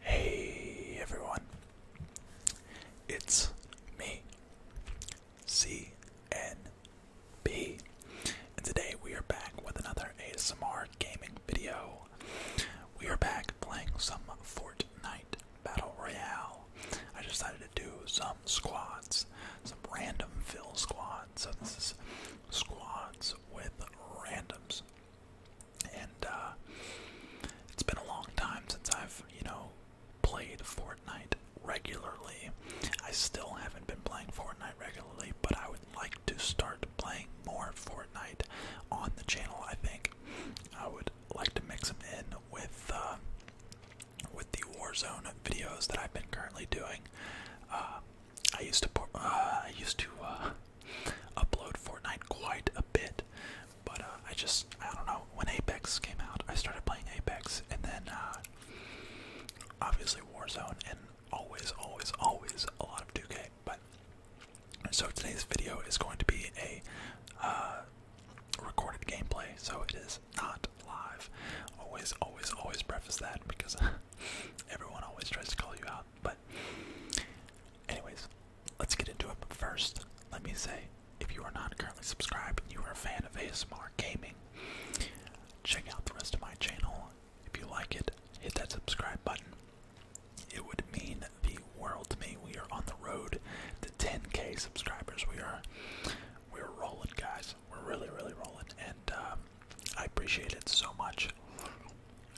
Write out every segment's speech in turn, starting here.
Hey everyone, it's me, CNB, and today we are back with another ASMR gaming video. We are back playing some Fortnite Battle Royale. I decided to do some squads, some random fill squads. So this is squads with randoms. And uh, it's been a long time since I've, you know, played Fortnite regularly. I still haven't been playing Fortnite regularly, but I would like to start playing more Fortnite on the channel, I think. I would like to mix them in with uh, with the Warzone videos that I've been currently doing. Uh, uh, I used to uh, I used to upload Fortnite quite a bit, but uh, I just I don't know when Apex came out. I started playing Apex, and then uh, obviously Warzone, and always, always, always a lot of 2K. But so today's video is going to be a recorded gameplay, so it is not live. Always, always, always preface that because Everyone always tries to call you out, but anyways, let's get into it. But first, let me say, if you are not currently subscribed and you are a fan of ASMR gaming, check out the rest of my channel. If you like it, hit that subscribe button. It would mean the world to me. We are on the road to 10k subscribers. We are we're rolling, guys. We're really, really rolling, and um, I appreciate it so much.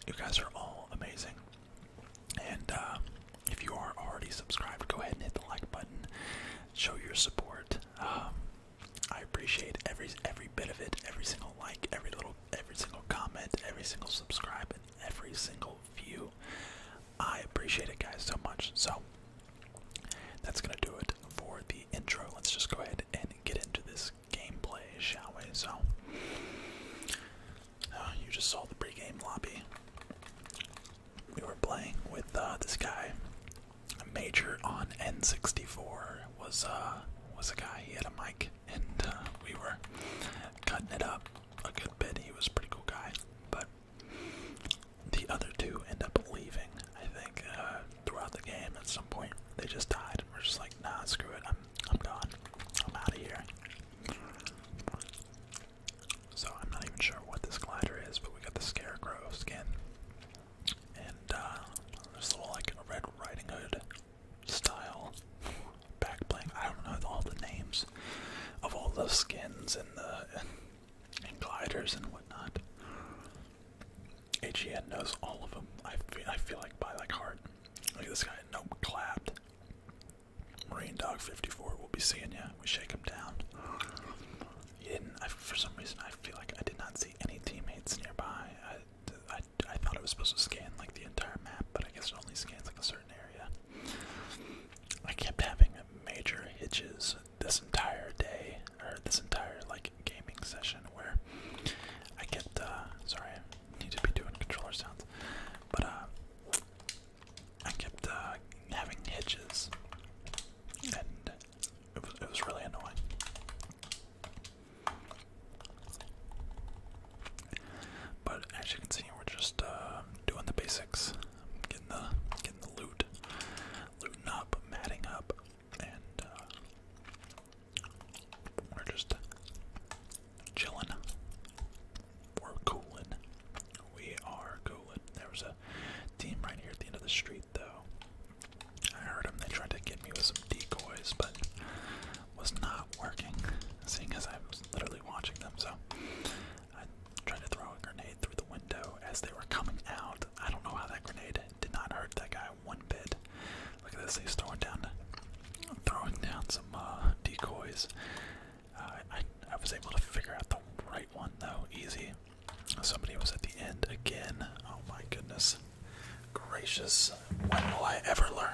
You guys are all amazing. And uh, if you are already subscribed, go ahead and hit the like button. Show your support. Um, I appreciate every every bit of it, every single like, every little, every single comment, every single subscribe, and every single view. I appreciate it, guys, so much. So that's gonna do it for the intro. Let's just go ahead and get into this gameplay, shall we? So, uh, you just saw the pregame lobby. We were playing with uh, this guy. a Major on N64 was uh, was a guy. He had a mic, and we were cutting it up a good bit. He was a pretty cool guy, but the other two end up leaving. I think throughout the game at some point they just died and we're just like nah screw it i'm i'm gone i'm out of here so i'm not even sure what this glider is but we got the scarecrow skin and uh like a red riding hood style back i don't know all the names of all those skins and the and gliders and whatnot AGN knows all of them. I feel, I feel like by like heart. Look at this guy. Nope, clapped. Marine Dog 54. We'll be seeing ya. We shake him down. for some reason, I feel like I did not see any teammates nearby. I, I thought it was supposed to scan like the entire map, but I guess it only scans like a certain area. I kept having major hitches this entire day or this entire like gaming session where I kept uh sorry I need to be doing controller sounds but uh I kept uh having hitches and it was it was really annoying. But as you can see, we're just uh, doing the basics, getting the getting the loot, looting up, matting up, and uh, we're just chilling. We're cooling. We are cooling. There was a team right here at the end of the street, though. I heard them. They tried to get me with some decoys, but was not working. Seeing as I was literally watching them, so I tried to throw a grenade through the window as they were coming out. I don't know how that grenade did not hurt that guy one bit. Look at this, he's throwing down, throwing down some uh, decoys. Uh, I, I was able to figure out the right one though, easy. Somebody was at the end again. Oh my goodness gracious, will I ever learn?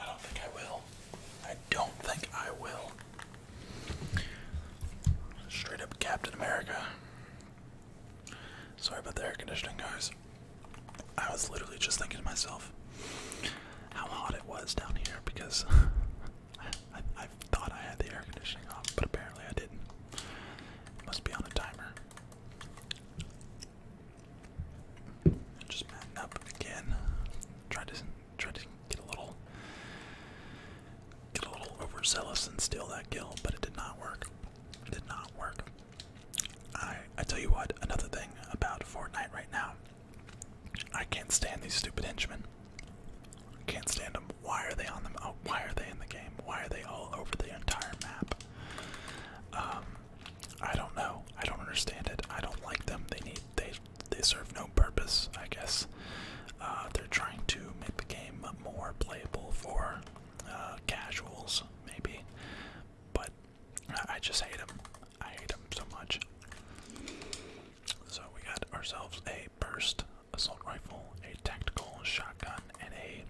I don't think I will. I don't think I will. Straight up Captain America. Sorry about the air conditioning, guys. I was literally just thinking to myself how hot it was down here because I, thought I had the air conditioning on, but apparently I didn't. must be on a timer. just man up again. Try to try to get a little get a little overzealous and steal that kill, but it did not work. did not work. I I tell you what, another thing about Fortnite right now. I can't stand these stupid henchmen. Can't stand them. Why are they on them? Oh, why are they in the game? Why are they all over the entire map? Um, I don't know. I don't understand it. I don't like them. They need they they serve no purpose, I guess. Uh, they're trying to make the game more playable for uh, casuals, maybe. But I just hate them. I hate them so much. So we got ourselves a burst assault rifle, a tactical shotgun, and a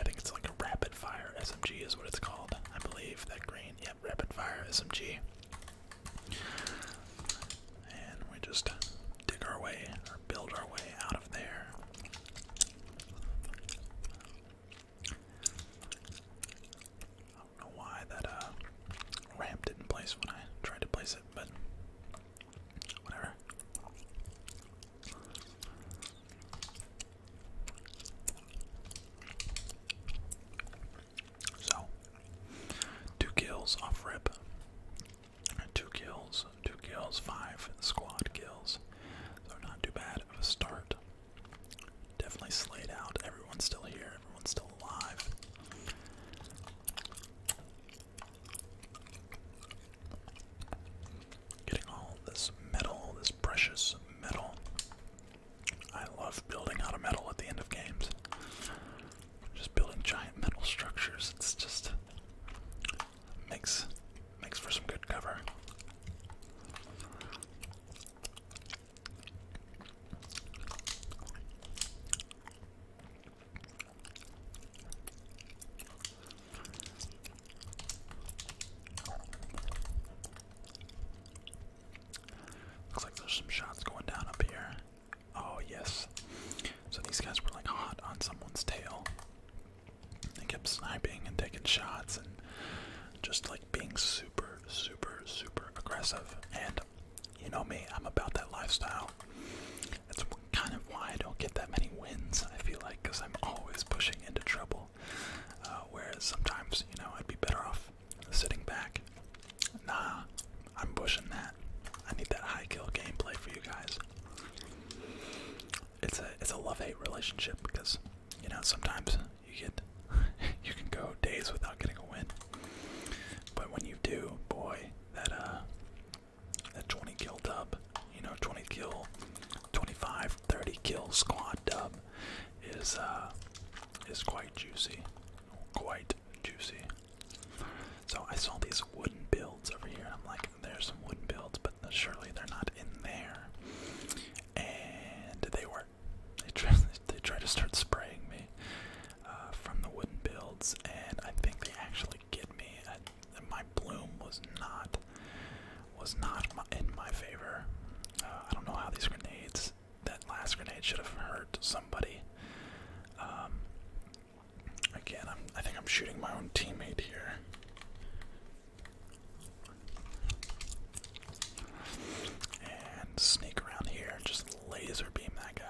I think it's like a rapid fire SMG is what it's called. I believe that green, yep, rapid fire SMG. And we just dig our way or build our way out of there. I don't know why that uh, ramp didn't place when I tried to place it, but whatever. So, two kills off rip. Two kills, two kills, five squad kills. So, not too bad of a start. Definitely slayed out. Everyone's still here, everyone's still alive. Getting all this metal, this precious metal. I love building out of metal at the end of games. Just building giant metal structures. It's just makes makes for some good cover. Looks like there's some shots going down up here. Oh, yes. So these guys were like hot on someone's tail. They kept sniping and taking shots and just like being super, super, super aggressive. And you know me, I'm about that lifestyle. That's kind of why I don't get that many wins, I feel like, because I'm always pushing into trouble. Uh, whereas sometimes, you know, I'd be better off sitting back. Nah, I'm pushing that. I need that high kill gameplay for you guys. It's a it's a love hate relationship because you know sometimes you get you can go days without getting a win, but when you do, boy, that uh that 20 kill dub, you know 20 kill, 25, 30 kill squad dub is uh is quite juicy, quite juicy. So I saw these wooden builds over here, and I'm like, there's some wooden builds, but surely they're not in there. And they were. They tried, they tried to start spraying me uh, from the wooden builds, and I think they actually get me. I, my bloom was not was not in my favor. Uh, I don't know how these grenades that last grenade should have hurt somebody. Um, again, I'm, I think I'm shooting my own teammate here. And sneak around here, just laser beam that guy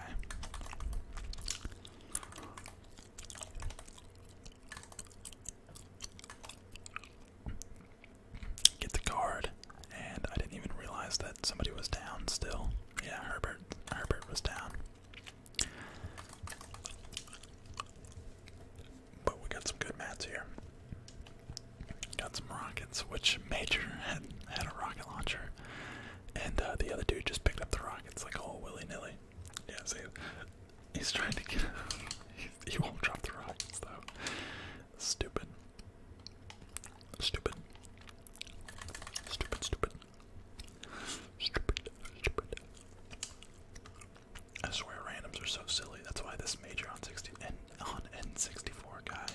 get the card, and I didn't even realize that somebody was down still. Yeah, Herbert Herbert was down. But we got some good mats here. Got some rockets, which Major had, had a rocket launcher, and uh, the other dude just picked up the rockets like all willy nilly. Yeah, see, he's trying to get. he won't drop the rockets though. Stupid. Stupid. Stupid, stupid. Stupid, stupid. I swear randoms are so silly. That's why this major on sixty and on N64 guy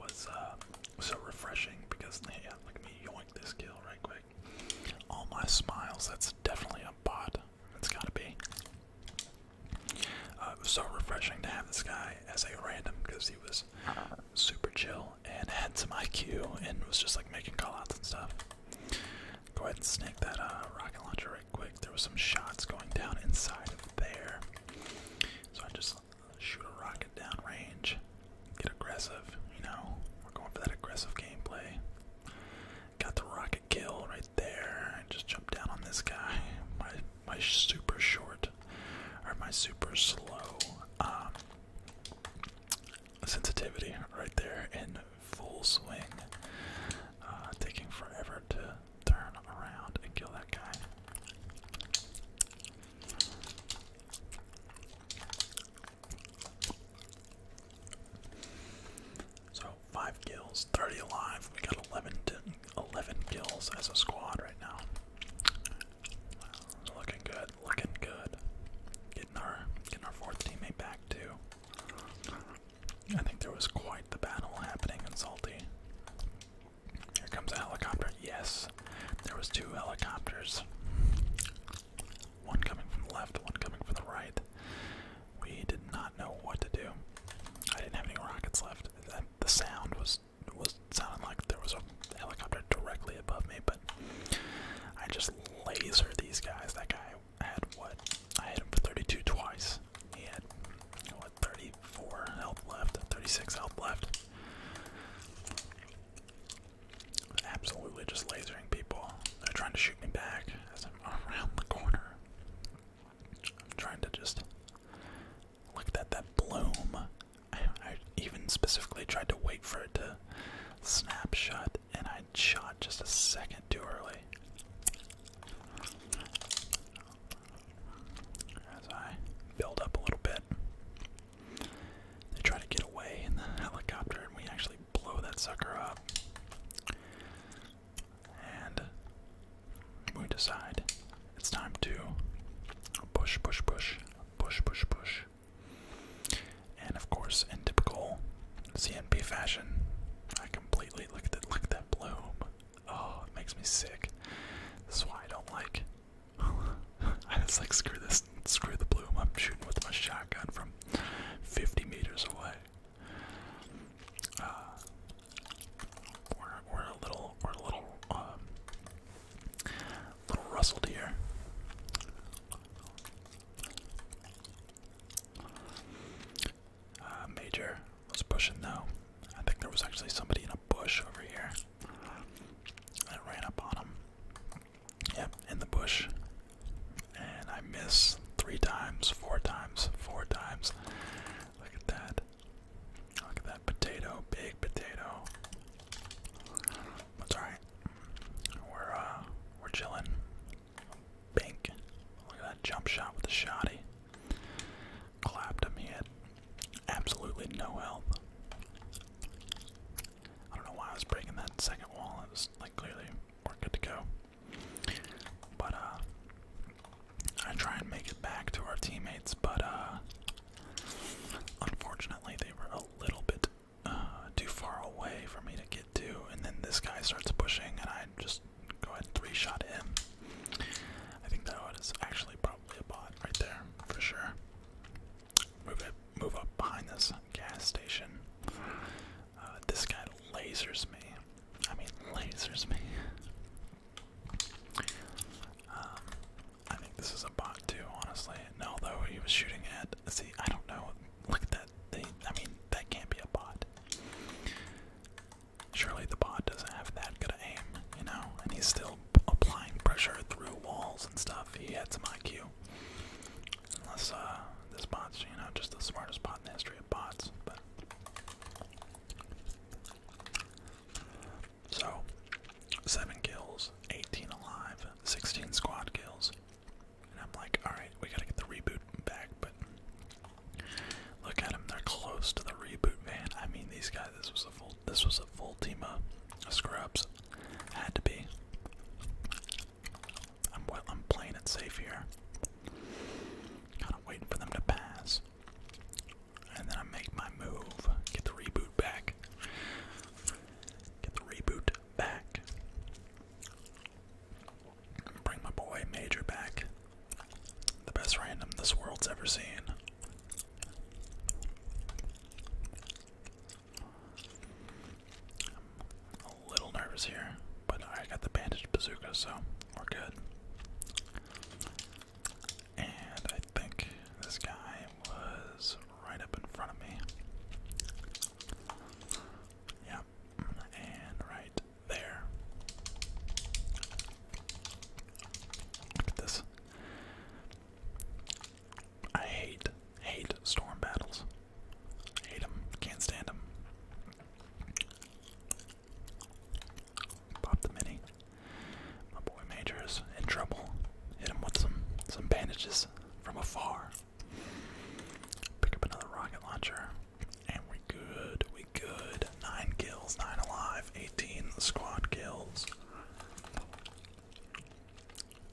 was uh, so refreshing because yeah, like me yoink this kill right quick. All my smiles, that's definitely a bot. It's gotta be. Uh, it was so refreshing to have this guy as a random because he was super chill and had some IQ and was just like making callouts and stuff. Go ahead and snake that uh, rocket launcher right quick. There was some shots going down inside of there, so I just shoot a rocket down range. Get aggressive, you know. We're going for that aggressive gameplay. Got the rocket kill right there. I just jump down on this guy. My my super short or my super slow um, sensitivity right there in full swing. Uh, taking forever to turn around and kill that guy. So five kills, 30 alive. We got 11, 11 kills as a squad right now. Looking good, looking good. Getting our getting our fourth teammate back too. I think there was quite the battle happening in Salty. Here comes a helicopter. Yes, there was two helicopters. One coming from the left, one coming from the right. We did not know what to do. I didn't have any rockets left. I the sound was was sounding like there was a helicopter directly above me, but I just laser these guys. That guy had what? I hit him for 32 twice. He had what 34 health left, 36 health left. Absolutely just lasering people. They're trying to shoot me back as I'm around the corner. I'm trying to just look at that bloom. I, even specifically tried to wait for it to snap shut, and I shot just a second too early. As I build up a little bit, they try to get away in the helicopter, and we actually blow that sucker up. And we decide it's time to push, push, push, push, push, push. And of course, in typical CNP fashion, I completely look at that look that bloom. Oh, it makes me sick. This is why I don't like. I just like screw this, screw the bloom. I'm shooting with my shotgun from 50 meters away. Uh, we're a little we're a little um, little rustled here. Uh, Major was pushing though. I think there was actually somebody in a bush over here. I ran up on him. Yep, in the bush. And I miss three times, four times, four times. Look at that. Look at that potato, big potato. That's alright. We're uh, we're chilling. Pink. Look at that jump shot with the shotty. Clapped him, he absolutely no health. I don't know why I was breaking that second wall. It was like clearly we're good to go. But uh I try and make it back to our teammates, but uh unfortunately they were a little bit uh too far away for me to get to and then this guy starts pushing and I just go ahead and three shot him. I think that was actually probably a bot right there for sure. Move it move up behind this gas station. Uh, this guy lasers me. I mean, lasers me. Um, I think this is a bot too, honestly. And although he was shooting at. See, I don't know. Look at that. They, I mean, that can't be a bot. Surely the bot doesn't have that good aim, you know. And he's still applying pressure through walls and stuff. He had some IQ. Unless uh, this bot's, you know, just the smartest bot in the history of bots. But so, 7 kills, 18 alive, 16 squad kills. And I'm like, alright, we gotta get the reboot back, but look at them, they're close to the reboot, man. I mean, these guys, this was a full, this was a full team of scrubs. Had to be. I'm well, I'm playing it safe here. Kind of waiting for them to pass, and then I make my move, get the reboot back, get the reboot back, bring my boy Major back, the best random this world's ever seen a little nervous here, but I got the bandaged bazooka, so we're good. And I think this guy was right up in front of me. Yep, and right there. Look at this. I hate, hate storm battles. Hate him. Can't stand him. Pop the mini. My boy Major's in trouble. Hit him with some some bandages from afar. Pick up another rocket launcher. And we good, we good. Nine kills, nine alive, 18 squad kills.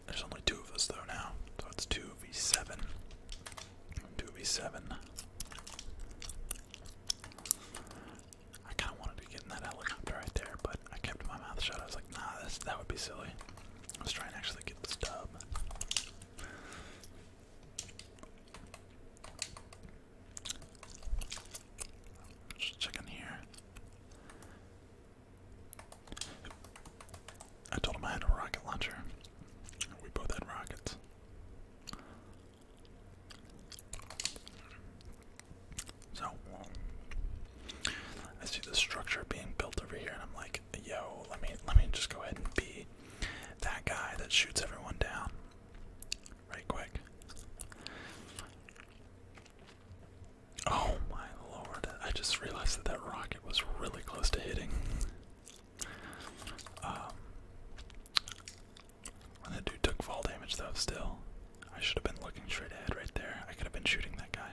There's only two of us though now, so it's 2v7. 2v7. I kind of wanted to get in that helicopter right there, but I kept my mouth shut. I was like, nah, that would be silly. I was trying to actually get this dub. Just check in here. I told him I had a rocket launcher. We both had rockets. So, I see the structure being built over here, and I'm like, "Yo, let me let me just go ahead and be that guy that shoots everyone down, right quick." Oh my lord! I just realized that that rocket was really close to hitting. Um, that dude took fall damage though. Still, I should have been looking straight ahead right there. I could have been shooting that guy,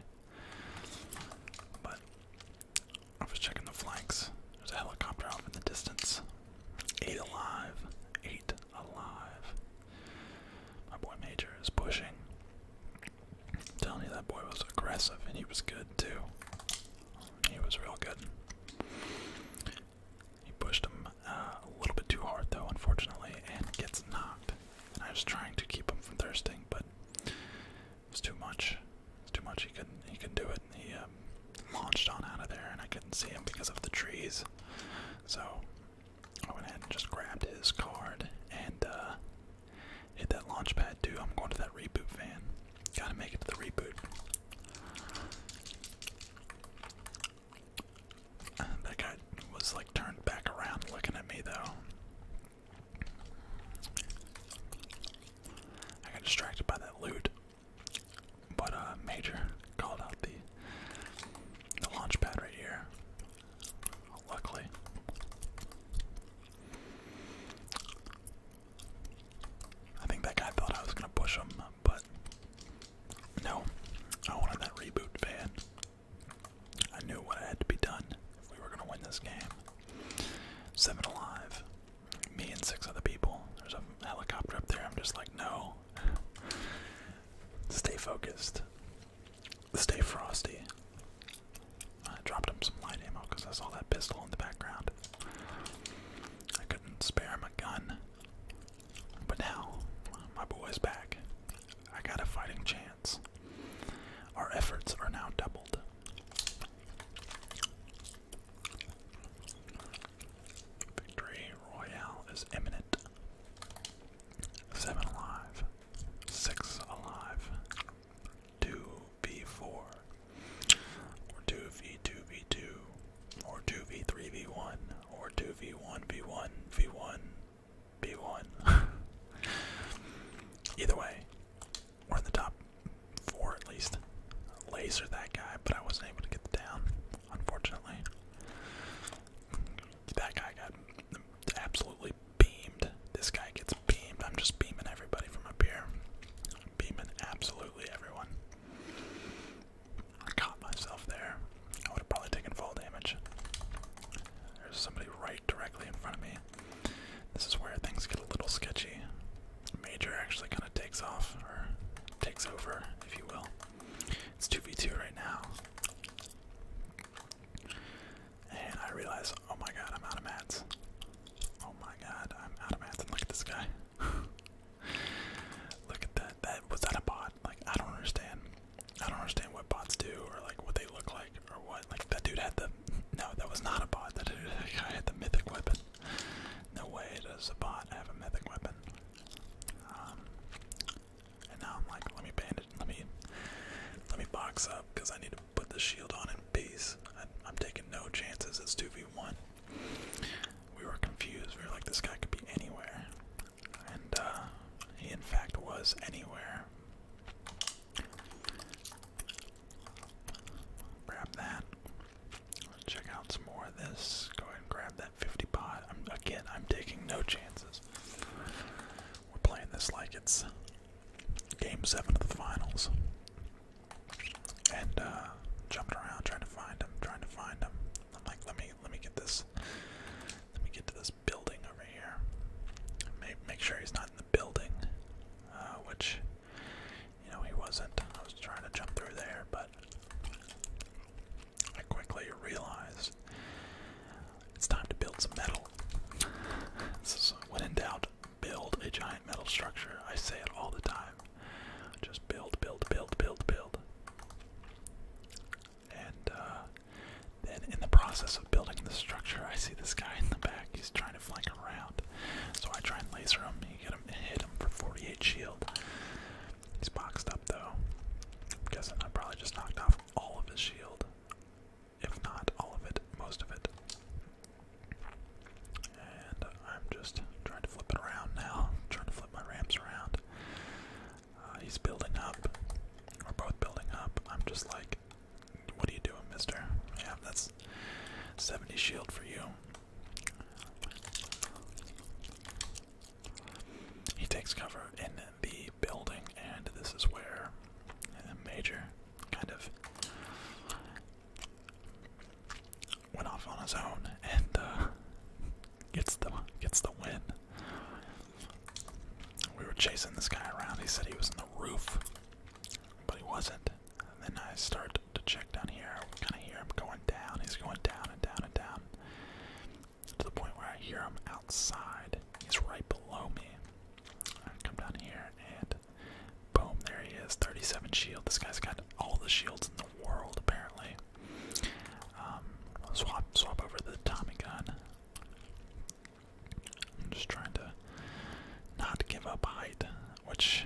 but I was checking the flanks. There's a helicopter off in the distance. Eight alive. Eight alive. My boy Major is pushing. I'm that boy was aggressive and he was good too. He was real good. He pushed him uh, a little bit too hard though, unfortunately, and gets knocked. I was trying to keep him from thirsting, but it was too much. It's too much. He can He could do it. he um, launched on out of there, and I couldn't see him because of the trees. So I went ahead and just grabbed his card and uh, Hit that launch too. I'm going to that reboot van. Gotta make it to the reboot. that guy was like turned back around looking at me though. I got distracted by that loot. But uh Major called out the the launch right here luckily. I think that guy thought I was gonna push him, but no. I wanted that reboot fan. I knew what had to be done if we were gonna win this game. Seven alive. Me and six other people. There's a helicopter up there. I'm just like, no. Stay focused. Stay frosty. I dropped him some light ammo because I saw that pistol in the background. I couldn't spare him a gun. But now, my boy's back. I got a fighting chance. Our efforts are now doubled. Victory Royale is imminent. Seven alive. Six alive. 2v4, or 2v2v2, or 2v3v1, or 2v1v1v1v1. V1, v one Either way, we're in the top four at least. Laser that guy, but I wasn't able to get down, unfortunately. That guy got absolutely beamed. This guy gets beamed. I'm just beaming everybody from up here. I'm beaming absolutely everyone. I caught myself there. I would have probably taken fall damage. There's somebody right directly in front of me. This is where things get a little sketchy. Major actually kind of takes off, or takes over, if you will. It's 2v2 right now. And I realize, oh my god, I'm out of mats. Oh my god, I'm out of mats. And look at this guy. look at that. That was that a bot? Like I don't understand. I don't understand what bots do or like what they look like or what. Like that dude had the no, that was not a bot. That dude that guy had the mythic weapon. No way does a bot have a mythic weapon. Um, and now I'm like, let me bandage, let me, let me box up because I need put the shield on in peace. I, am taking no chances. It's 2v1. We were confused. We were like, this guy could be anywhere. And uh, he, in fact, was anywhere. Grab that. check out some more of this. Go ahead and grab that 50 pot. again, I'm taking no chances. We're playing this like it's Game seven of the finals, and uh, jumped around trying to find him, trying to find him. I'm like, let me let me get this, let me get to this building over here. Make make sure he's not in the building, uh, which you know he wasn't. I was trying to jump through there, but I quickly realized it's time to build some metal. so uh, when in doubt, build a giant metal structure. I say it all the time. Just build, build, build, build, build. And uh, then in the process of building the structure, I see this guy in the back. He's trying to flank around. So I try and laser him. You get him, hit him for 48 shield. He's boxed up though. I'm guessing I probably just knocked off all of his shield if not all of it, most of it. And I'm just trying to flip it around now, trying to flip my ramps around. Uh, he's building up. We're both building up. I'm just like, what are you doing, mister? Yeah, that's 70 shield for you. He takes cover, and the building, and this is where a Major kind of went off on his own and uh, gets the gets the win. We were chasing this guy around. He said he was on the roof, but he wasn't. then I start to check down here. Kind of hear him going down. He's going down and down and down to the point where I hear him outside. He's right below me. I come down here and boom, there he is. 37 shield. This guy's got all the shields in the world apparently. Um, swap, swap over the Tommy gun. I'm just trying to not give up height, which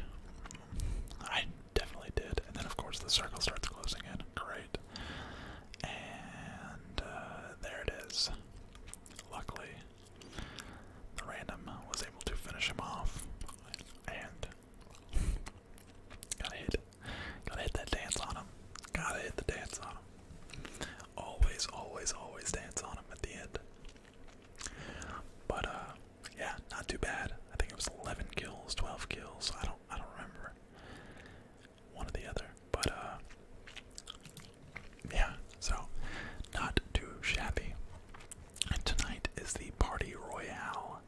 I definitely did. And then of course the circle starts closing in. Great. And uh, there it is. Luckily, the random was able to finish him off and gotta hit. Gotta hit that dance on him. Gotta hit the dance on him. Always, always, always dance on him at the end. But uh, yeah, not too bad. I think it was eleven kills, twelve kills, I don't I don't remember one or the other. But uh yeah, so not too shabby. And tonight is the Party Royale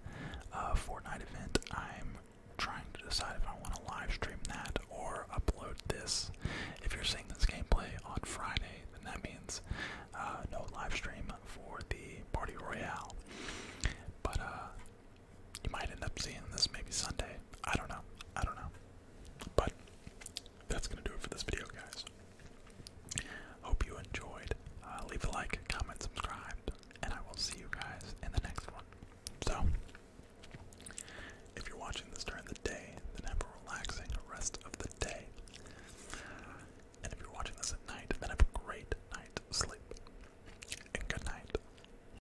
uh Fortnite event. I'm trying to decide if I want to live stream that or upload this. If you're seeing this gameplay on Friday, then that means uh, no live stream for the Party Royale. But uh you might end up seeing this maybe Sunday. I don't know. I don't know. But that's gonna do it for this video, guys. Hope you enjoyed. Uh, leave a like, comment, subscribe, and I will see you guys in the next one. So, if you're watching this during the day, then have a relaxing rest of the day. And if you're watching this at night, then have a great night's sleep. And good night.